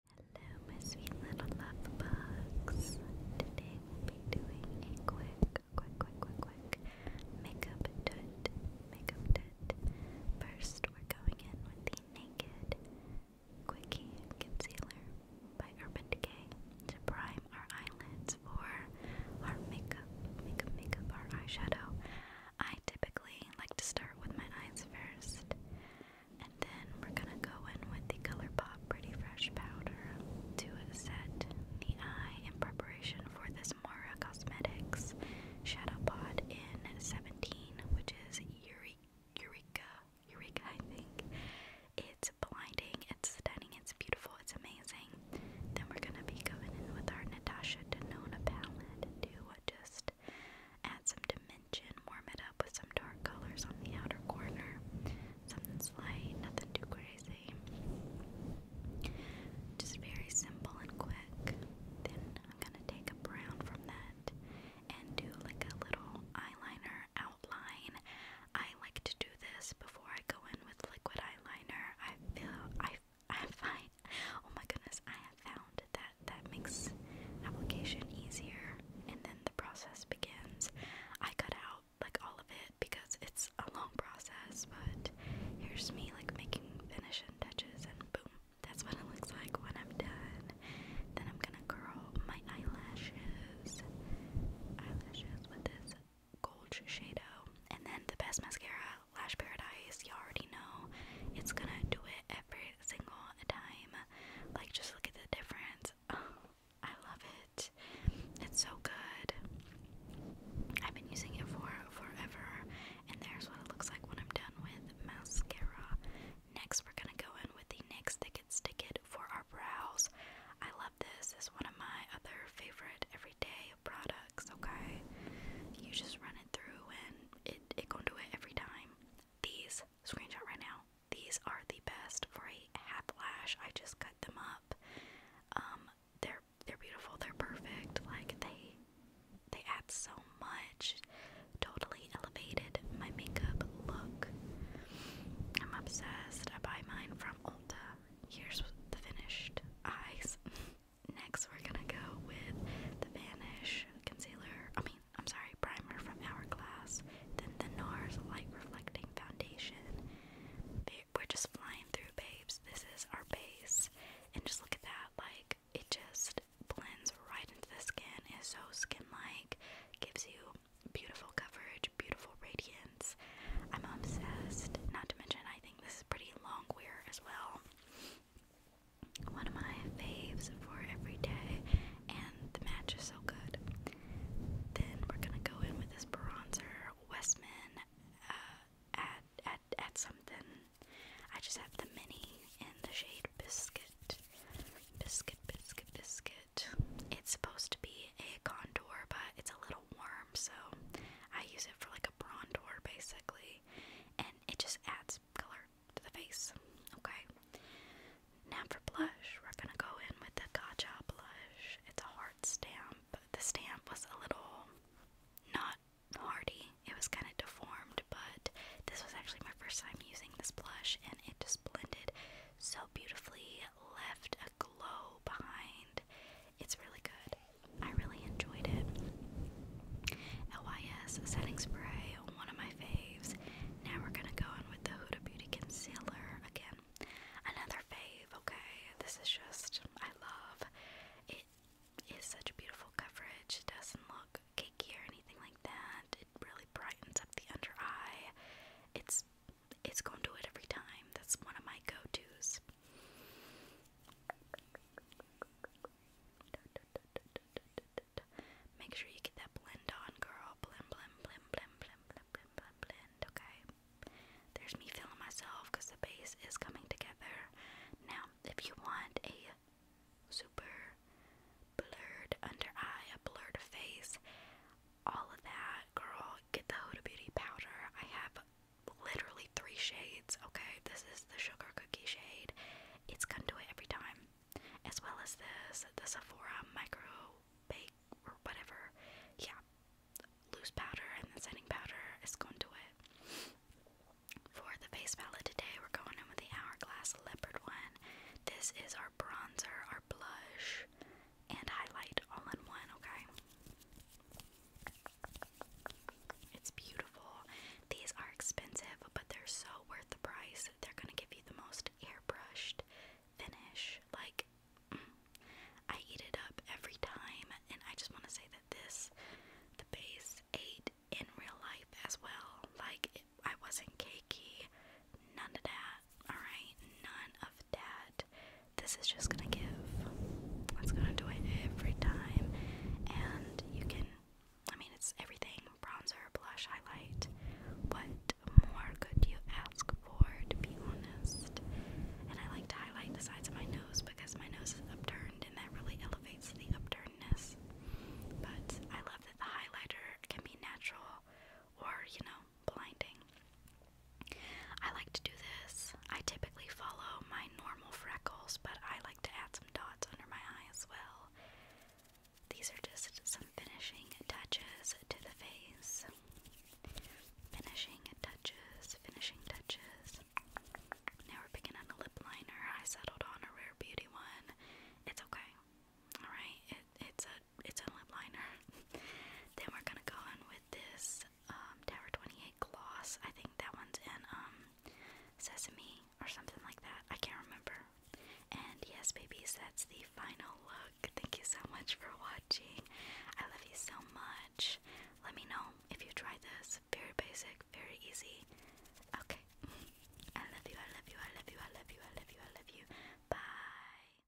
Hello, my sweet little love bugs. Today we'll be doing a quick, quick, quick, quick, quick makeup tut, makeup tut. First, we're going in with the Naked Quickie Concealer by Urban Decay to prime our eyelids for our makeup, makeup, makeup, our eyeshadow. I typically like to start with my eyes first. And then we're gonna go in with the ColourPop Pretty Fresh Powder to set the eye in preparation for this Mara Cosmetics Shadow Pod in 17, which is Eureka. Eureka, I think. It's blinding, it's stunning, it's beautiful, it's amazing. Then we're gonna be going in with our Natasha Denona palette to just Add some dimension, warm it up with some dark colors on the outer corner. Something slight, nothing too crazy. Just very simple and quick. Then I'm gonna take a brown from that and do like a little eyeliner outline. I like to do this before I go in with liquid eyeliner. I feel I I find oh my goodness, I have found that that makes application easier and then the process begins. I cut out like all of it because it's a long process, but here's me like making finishing touches and boom. That's what it looks like when I'm done. Then I'm gonna curl my eyelashes. Eyelashes with this gold shadow. And then the best mascara, Lash Paradise, you already know. It's gonna do it every single dime. Like, just look at the difference. Oh, I love it. It's so good. I've been using it for forever. And there's what it looks like when I'm done with mascara. Next, we're gonna go in with the NYX Thick It Stick It for our brows. I love this. It's one of my other favorite everyday products, okay? You just run it through and it it gonna do it every time. These screenshot right now. These are the best for a half lash. I just cut them up. Um, they're they're beautiful. They're perfect. Like they they add so much. Totally elevated my makeup look. I'm obsessed. I buy mine from Ulta. Here's the finished eyes. Next, we're gonna go with the Vanish Concealer, I mean, I'm sorry, Primer from Hourglass, then the NARS Light Reflecting Foundation. We're just flying through, babes. This is our base, and just look at that, like, it just blends right into the skin, It's so skin-like, gives you beautiful coverage, beautiful radiance. I'm obsessed, not to mention I think this is pretty long wear as well one of my faves for every day, and the match is so good. Then we're gonna go in with this bronzer, Westman, uh, at at something. I just have the mini in the shade biscuit, biscuit, biscuit, biscuit. It's supposed to be a contour, but it's a little warm, so I use it for like a bronzer, basically and it just adds color to the face. Okay. Now for blush, we're gonna go in with the Gacha blush. It's a hard stamp. The stamp was a little not hardy. It was kind of deformed, but this was actually my first time using this blush and it just blended so beautifully, left a glow behind. It's really good. I really enjoyed it. LYS setting spray, one of my faves. Now we're gonna go on with the Huda Beauty concealer again. Another fave, okay. This is just I love it is such a beautiful coverage. It doesn't look cakey or anything like that. It really brightens up the under eye. It's it's gonna do it every time. That's one of my go-to's. Make sure you get that blend on, girl. Blend, blend, blend, blend, blend, blend, blend, blend, blend. Okay. There's me feeling myself because the base is coming together. Now, if you want a super blurred under eye, a blurred face, all of that, girl, get the Huda Beauty powder. I have literally three shades, okay? This is the sugar cookie shade. It's going to do it every time. As well as this, the Sephora micro bake or whatever. Yeah. Loose powder and the setting powder is going to do it. For the face palette today, we're going in with the Hourglass Leopard one. This is our bronzer, our blush, and highlight all in one, okay? It's beautiful. These are expensive, but they're so worth the price. They're gonna give you the most airbrushed finish. Like, I eat it up every time, and I just want to say that this, the base, ate in real life as well. Like, it, I wasn't cakey, none of that. All right, none of that this is just gonna give. It's gonna do it every time, and you can. I mean, it's everything bronzer, blush, highlight. What more could you ask for, to be honest? And I like to highlight the sides of my nose because my nose is upturned and that really elevates the upturnedness. But I love that the highlighter can be natural or, you know, blinding. I like to do this. I typically follow my normal freckles, but I like to add some dots under my eye as well. These are just some finishing touches to the face. Finishing touches, finishing touches. Now we're picking on the lip liner. I settled on a Rare Beauty one. It's okay. Alright, it's a it's a lip liner. then we're gonna go in with this um, Tower 28 gloss. I think that one's in um, Sesame or something like that. I can't remember. And yes, babies, that's the final look. Thank you so much for watching. I love you so much. Let me know if you try this. Very basic, very easy. Okay. I love you, I love you, I love you, I love you, I love you, I love you. Bye.